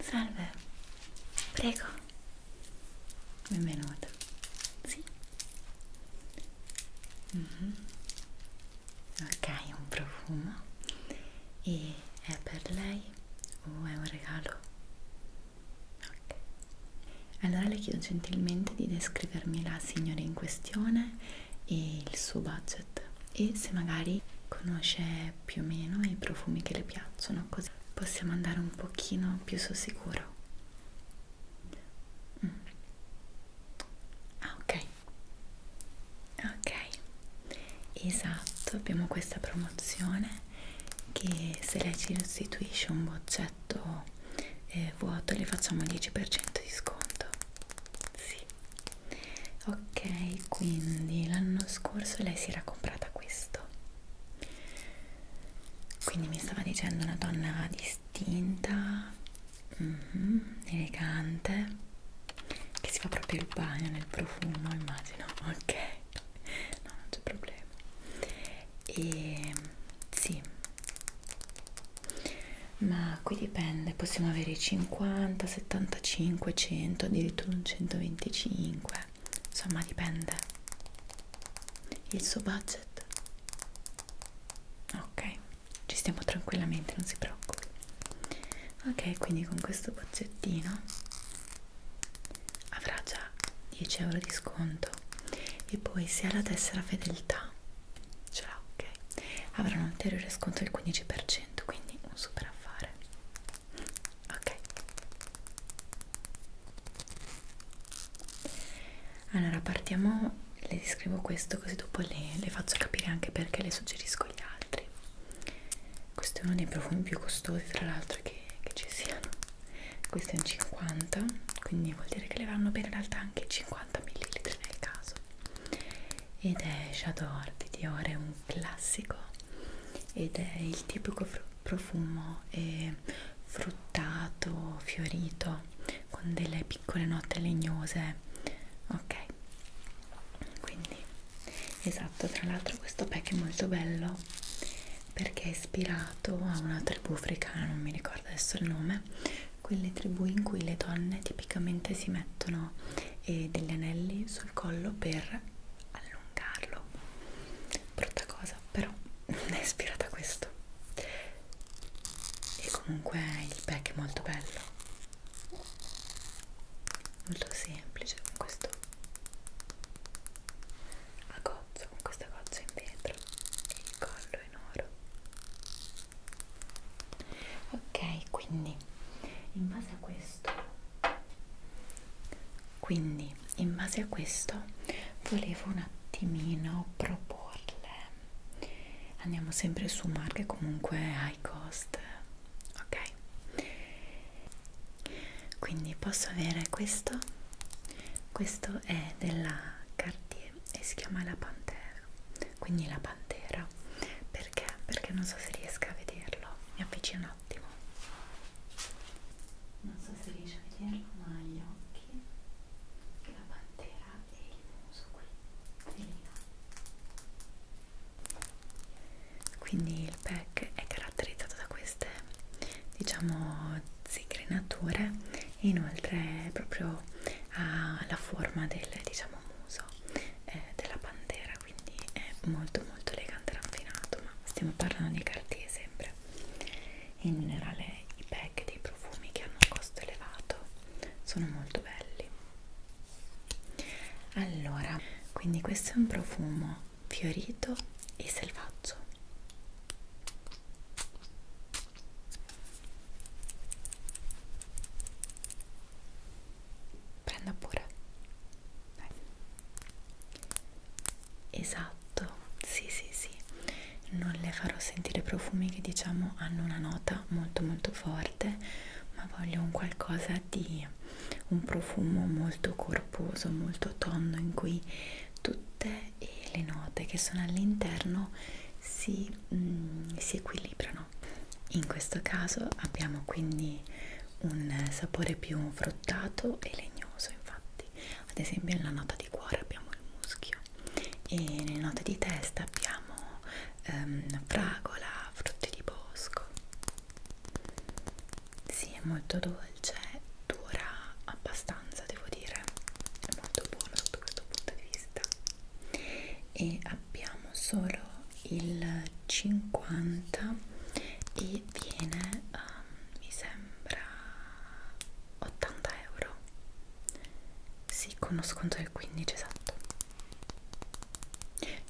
Salve, prego, benvenuto. Sì. Mm -hmm. Ok, un profumo. E è per lei o è un regalo? Ok. Allora le chiedo gentilmente di descrivermi la signora in questione e il suo budget e se magari conosce più o meno i profumi che le piacciono così possiamo andare un pochino più sul sicuro mm. ah ok ok esatto abbiamo questa promozione che se lei ci restituisce un boccetto eh, vuoto le facciamo il 10% di sconto sì ok quindi l'anno scorso lei si era comprata questo quindi mi stava dicendo una donna distinta mm -hmm, elegante che si fa proprio il bagno nel profumo immagino ok no non c'è problema e sì ma qui dipende possiamo avere 50 75 100 addirittura un 125 insomma dipende il suo budget ok ci stiamo tranquillamente non si preoccupi ok quindi con questo bozzettino avrà già 10 euro di sconto e poi se ha la tessera fedeltà l'ha ce l'ha ok avrà un ulteriore sconto del 15% quindi un super affare ok allora partiamo le descrivo questo così dopo le, le faccio capire anche perché le suggerisco agli altri questo è uno dei profumi più costosi tra l'altro che, che ci siano questo è un 50 quindi vuol dire che le vanno bene in realtà anche 50 ml nel caso ed è Shadow Orb di Dior, è un classico ed è il tipico profumo è eh, fruttato, fiorito con delle piccole note legnose ok quindi esatto tra l'altro questo pack è molto bello perché è ispirato a una tribù africana non mi ricordo adesso il nome quelle tribù in cui le donne tipicamente si mettono eh, degli anelli sul collo per allungarlo brutta cosa però è ispirata a questo e comunque il pack è molto bello molto semplice con questo a gozzo con questa gozza in vetro e il collo proprio in oro ok quindi in base a questo quindi in base a questo volevo un attimino proporle andiamo sempre su marche comunque high cost ok quindi posso avere questo questo è della Cartier e si chiama la Pantera neve quindi la pantera perché? perché non so se riesca a vederlo mi avvicino un attimo non so se riesci a vederlo ma gli occhi la pantera e il muso qui velina. quindi il pack è caratterizzato da queste diciamo zigrinature e inoltre proprio ha ah, la forma del diciamo muso eh, della pantera quindi è molto molto elegante e raffinato ma stiamo parlando di Cartier sempre in generale i pack dei profumi che hanno un costo elevato sono molto belli allora quindi questo è un profumo fiorito e selvaggio prenda pure eh. esatto sì sì sì non le farò sentire profumi che diciamo hanno una nota molto molto forte ma voglio un qualcosa di un profumo molto corposo molto tondo in cui tutte eh, le note che sono all'interno si quindi mm, si equilibrano. In questo caso abbiamo quindi un sapore più fruttato e legnoso, infatti, ad esempio nella nota di cuore abbiamo il muschio e nelle note di testa abbiamo ehm, fragola, frutti di bosco. Sì, è molto dolce, dura abbastanza, devo dire, è molto buono sotto questo punto di vista e abbiamo solo il 50 e viene um, mi sembra 80 euro sì con uno sconto del 15 esatto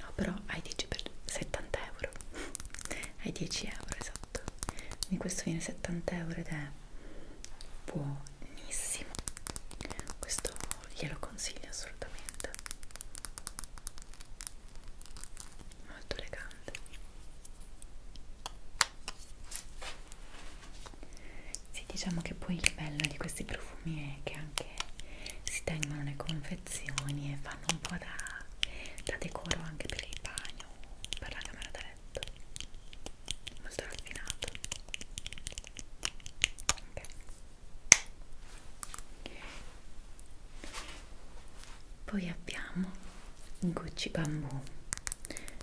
no però hai 10 per 70 euro hai 10 euro esatto quindi questo viene 70 euro ed è buono buonissimo questo glielo consiglio assolutamente molto elegante sì diciamo che poi il bello di questi profumi è che anche si tengono le confezioni e fanno un po' da, da decoro anche per il bagno per la camera da perfetto molto raffinato ok poi abbiamo Gucci Bambù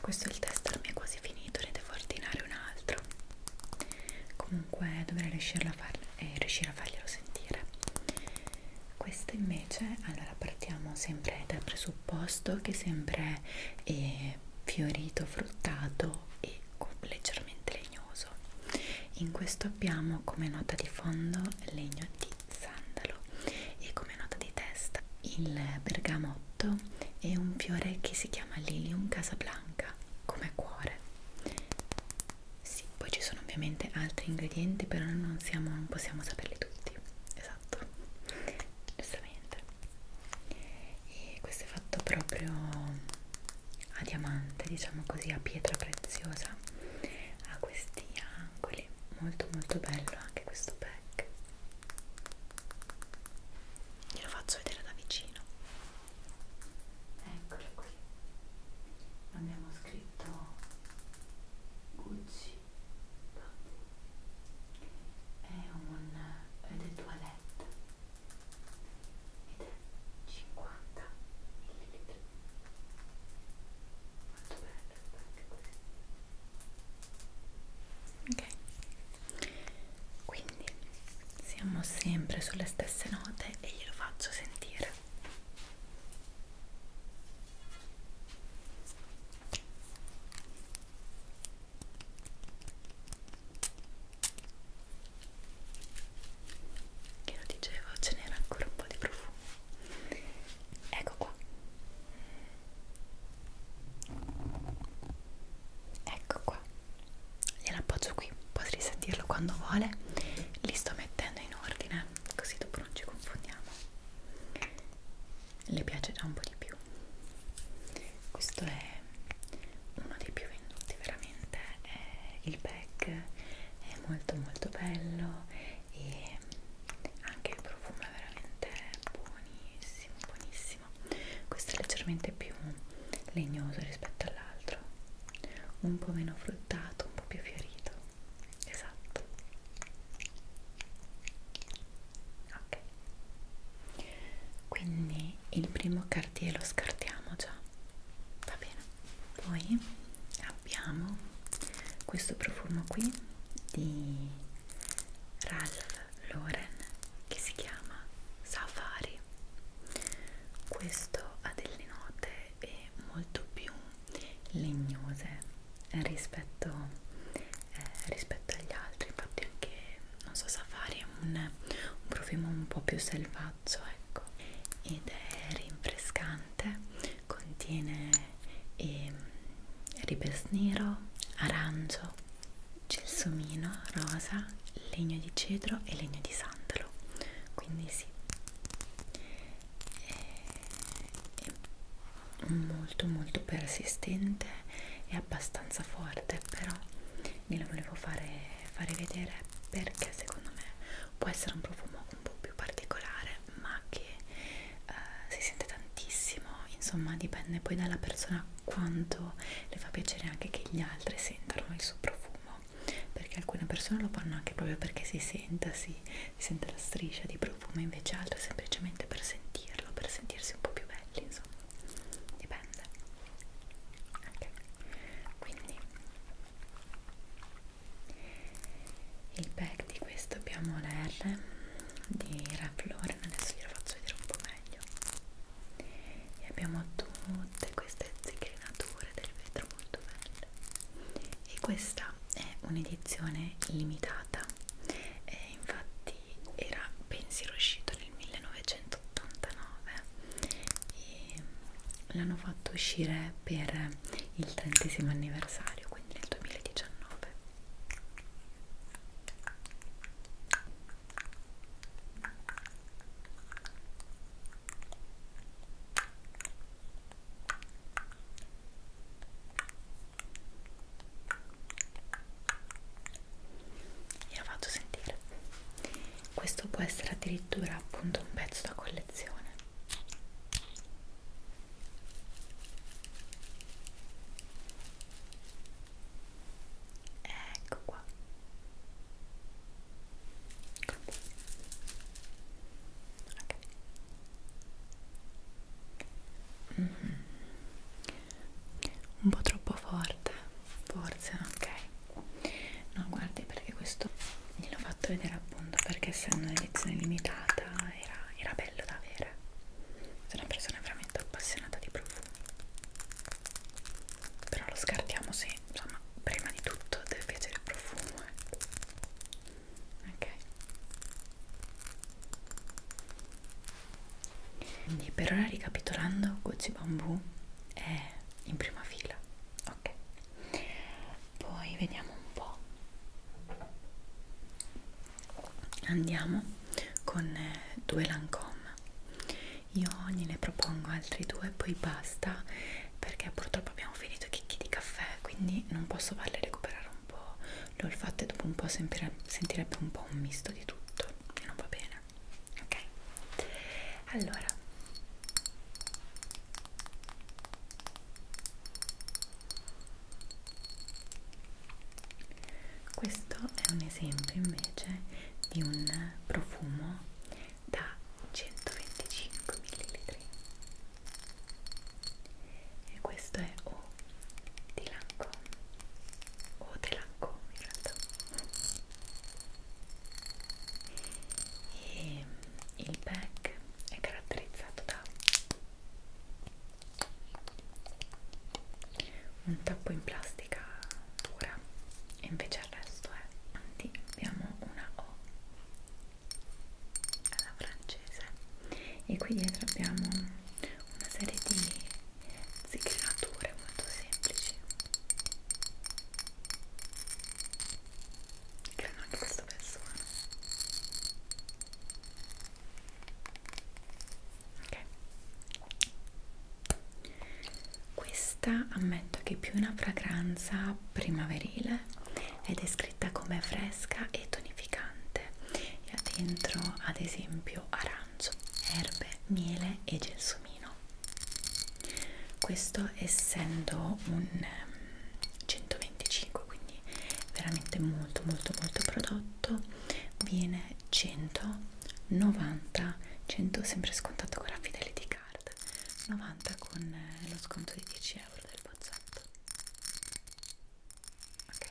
questo è il tester mi è quasi finito ne devo ordinare un altro comunque dovrei riuscirlo a far, eh, riuscire a farglielo sentire questo invece allora partiamo sempre dal presupposto che sempre eh, è fiorito, fruttato e leggermente legnoso. In questo abbiamo come nota di fondo legno di sandalo e come nota di testa il bergamotto e un fiore che si chiama Lilium Casablanca come cuore. Sì, poi ci sono ovviamente altri ingredienti, però non, siamo, non possiamo saperli tutti. Esatto, giustamente e questo è fatto proprio a diamante diciamo così a pietra preziosa ha questi angoli molto molto bello anche questo pack glielo faccio vedere da vicino eccolo qui abbiamo scritto Gucci Bamboo è un è del toilette ed è 50 ml molto bello anche questo ok quindi siamo sempre sulle stesse note e glielo faccio sentire che lo dicevo ce n'era ancora un po' di profumo ecco qua ecco qua gliela appoggio qui potete sentirlo quando vuole li sto mettendo in ordine così dopo non ci confondiamo le piacerà un po' di più questo è uno dei più venduti veramente eh, il pack è molto molto bello e anche il profumo è veramente buonissimo buonissimo questo è leggermente più legnoso rispetto all'altro un po' meno fruttato un po' più fiorito esatto ok quindi il primo cartier lo scartiamo già va bene poi abbiamo questo profumo qui di Ralph Lauren che si chiama Safari questo ha delle note e molto più legnose rispetto eh, rispetto agli altri infatti anche non so Safari è un, un profumo un po' più selvaggio ecco ed è rinfrescante contiene eh, ribes nero arancio gelsomino rosa legno di cedro e legno di sandalo quindi sì eh, e, e molto molto persistente e abbastanza forte però glielo volevo fare, fare vedere perché secondo me può essere un profumo un po' più particolare ma che eh, si sente tantissimo insomma dipende poi dalla persona quanto le fa piacere anche che gli altri sentano il suo profumo perché alcune persone lo fanno anche proprio perché si senta si, si sente la striscia di profumo invece altre semplicemente per sentirlo per sentirsi un po' più belli insomma dipende ok quindi il pack di questo abbiamo la R di Ralph Lauren adesso glielo faccio vedere un po' meglio e abbiamo tutte queste zecchinature del vetro molto belle e questa è un'edizione limitata e infatti era pensiero uscito nel 1989 e l'hanno fatto uscire per il trentesimo anniversario quindi nel 2019 glielo faccio sentire questo può essere addirittura appunto un pezzo da collezione ecco qua ecco. Okay. Mm -hmm un po' troppo forte forse ok no guardi perché questo gliel'ho fatto vedere appunto perché essendo un'edizione limitata era, era bello da avere sono una persona veramente appassionata di profumi però lo scartiamo se insomma prima di tutto deve piacere il profumo eh. ok quindi per ora ricapitolando Gucci Bamboo è in prima fila ok poi vediamo un po' andiamo con eh, due Lancome io gliene propongo altri due poi basta perché purtroppo abbiamo finito i chicchi di caffè quindi non posso farle recuperare un po' l'olfatto e dopo un po' sentire, sentirebbe un po' un misto di tutto e non va bene ok allora questo è un esempio invece di un profumo da 125 ml e questo è O di Lancome o te Lancome in realtà e il pack è caratterizzato da un tappo in plastica pura e invece il resto è anti abbiamo una O alla francese e qui dietro abbiamo una serie di zigrinature molto semplici creano anche questo persona ok questa ammetto che è più una fragranza primaverile ed è scritta come fresca e tonificante e ha dentro ad esempio arancio, erbe, miele e gelsomino questo essendo un um, ehm, 125 quindi veramente molto molto molto prodotto viene 190 100 sempre scontato con la fidelity card 90 con eh, lo sconto di 10 euro del bozzotto ok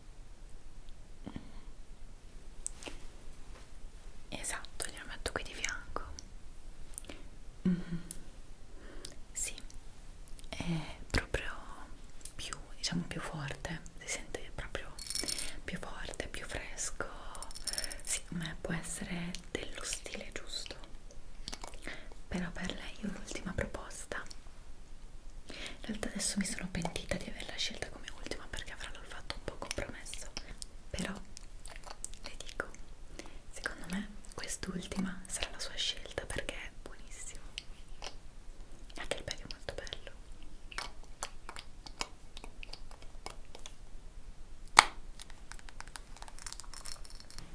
esatto glielo metto qui di fianco mm -hmm. sì è proprio più diciamo più forte si sente proprio più forte più fresco secondo sì, me può essere dello stile giusto però per lei ho l'ultima proposta in realtà adesso mi sono pentita di averla scelta come ultima perché avrà l'ho fatto un po' compromesso però le dico secondo me quest'ultima sarà la sua scelta perché è buonissimo anche il pelo è molto bello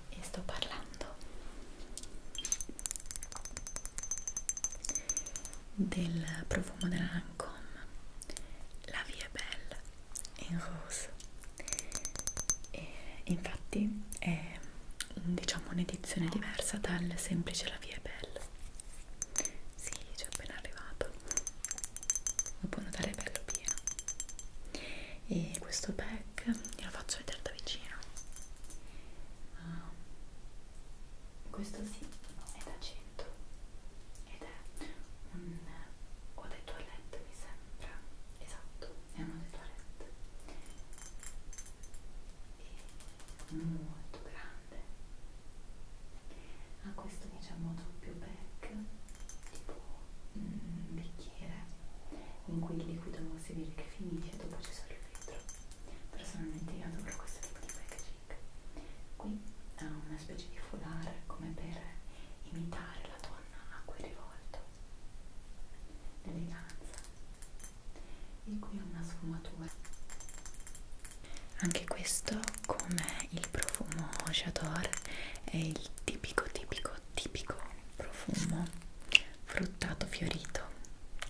e sto parlando del profumo della Lancome La Vie è Belle in Rose e infatti è diciamo un'edizione diversa dal semplice La Vie è Belle sì, ci è appena arrivato lo può notare bello pieno e questo pack glielo faccio vedere da vicino ah, questo sì è da 5 ed è un eau de toilette mi sembra esatto, è un eau de toilette e molto grande ha ah, questo diciamo doppio pack tipo un mm, bicchiere in cui il liquido si vede che finisce dopo c'è solo il vetro personalmente io adoro questo tipo di packaging Magic qui ha una specie di foulard come per imitare la donna a quel rivolto l'eleganza e qui una sfumatura anche questo come il profumo J'adore è il tipico tipico tipico profumo fruttato fiorito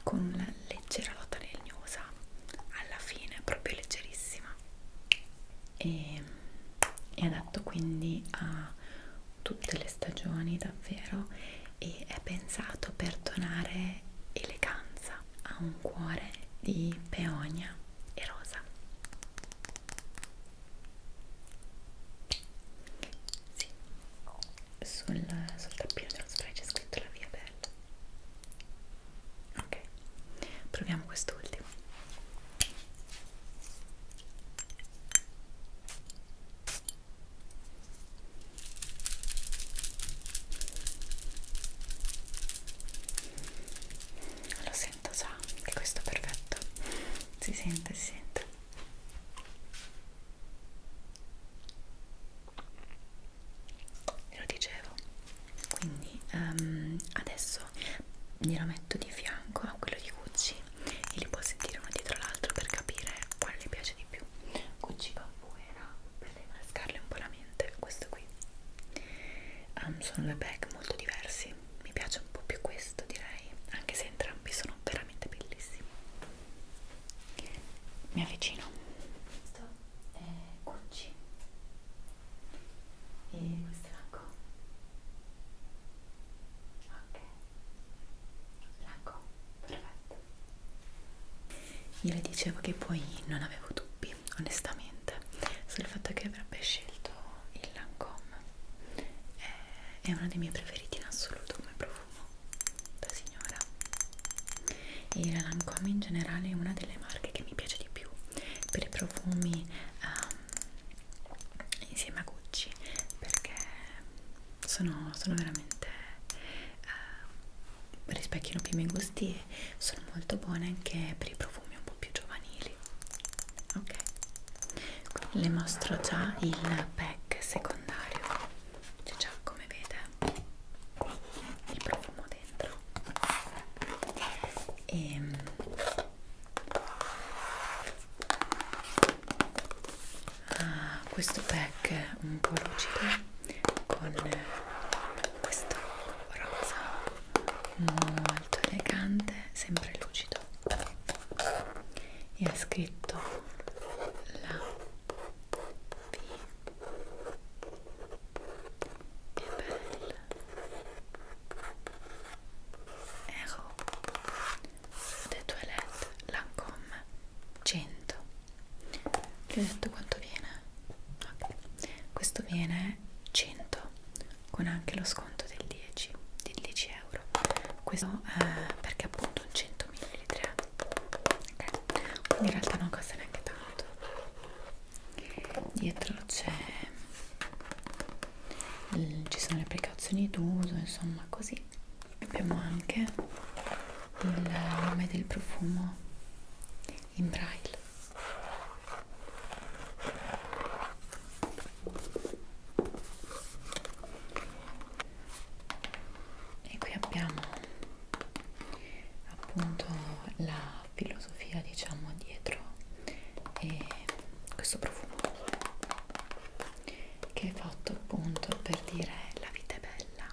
con una leggera nota legnosa alla fine, proprio leggerissima e è adatto quindi a tutte le stagioni davvero e è pensato per donare eleganza a un cuore di peonia e rosa sì. sul, sul tappino dello spray c'è scritto la via bella ok proviamo quest'ultimo lo sento già che questo è perfetto si sente si sente lo dicevo quindi um, adesso glielo metto di fianco a quello di Gucci e li può sentire uno dietro l'altro per capire quale le piace di più Gucci Bambuera per rinfrescarle un po' la mente questo qui um, sono due bag molto diversi mi piace un po' più questo direi anche se entrambi sono veramente bellissimi mi avvicino Stop è eh, Gucci e questo è Lancome ok Lancome, perfetto io le dicevo che poi non avevo dubbi onestamente sul fatto che avrebbe scelto il Lancome eh, è uno dei miei preferiti in assoluto come profumo da sì signora e la Lancome in generale è una delle marche che mi piace di più per i profumi um, insieme a Gucci perché sono, sono veramente uh, ehm, rispecchiano più i miei gusti e sono molto buone anche per i profumi un po' più giovanili ok le mostro già il pack secondario c'è già come vede il profumo dentro e ehm, ah, questo pack un po' lucido con questo rosa molto elegante sempre lucido e ha scritto la Ero de ecco. Toilette Lancome 100 vi ho detto quanto viene? Okay. questo viene 100 con anche lo sconto del 10 di 10 euro questo eh, perché appunto un 100 ml okay. quindi in realtà non costa neanche tanto bagnato dietro c'è ci sono le precauzioni d'uso insomma così abbiamo anche il nome del profumo in braille e qui abbiamo appunto la filosofia diciamo dietro e questo profumo che è fatto appunto per dire la vita è bella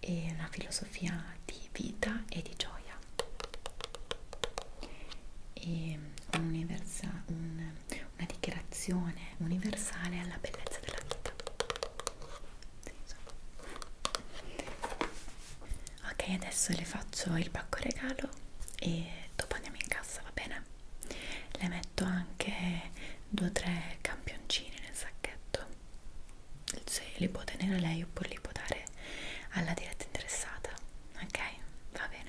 e una filosofia di vita e di gioia e un, una dichiarazione universale alla bellezza della vita ok adesso le faccio il pacco regalo e dopo andiamo in cassa va bene le metto anche due o tre campioncini nel sacchetto se li può tenere lei oppure li può dare alla diretta interessata ok va bene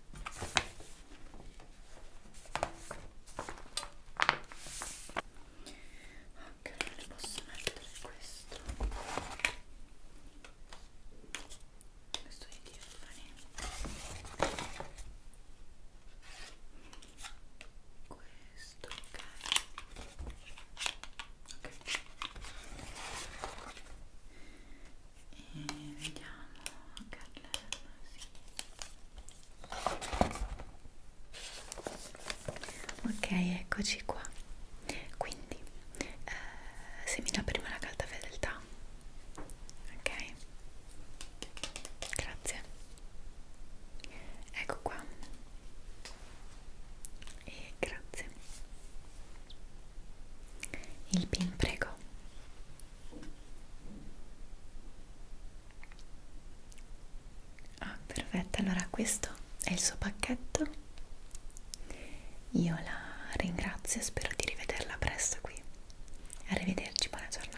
ok non le posso mettere questo questo è di Tiffany questo ok ok e vediamo Carlella sì. ok eccoci qua quindi eh, se mi dà prima la carta fedeltà ok grazie ecco qua e grazie il pin prego Ah, perfetto, allora questo è il suo pacchetto. Io la ringrazio e spero di rivederla presto qui. Arrivederci, buona giornata.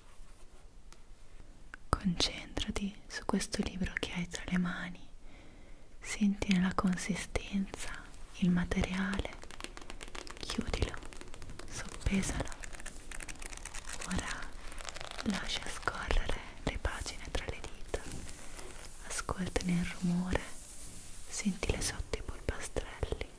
Concentrati su questo libro che hai tra le mani, sentine la consistenza, il materiale, chiudilo, soppesalo. Ora lascia scorrere le pagine tra le dita, ascoltane il rumore, sentile sotto i polpastrelli.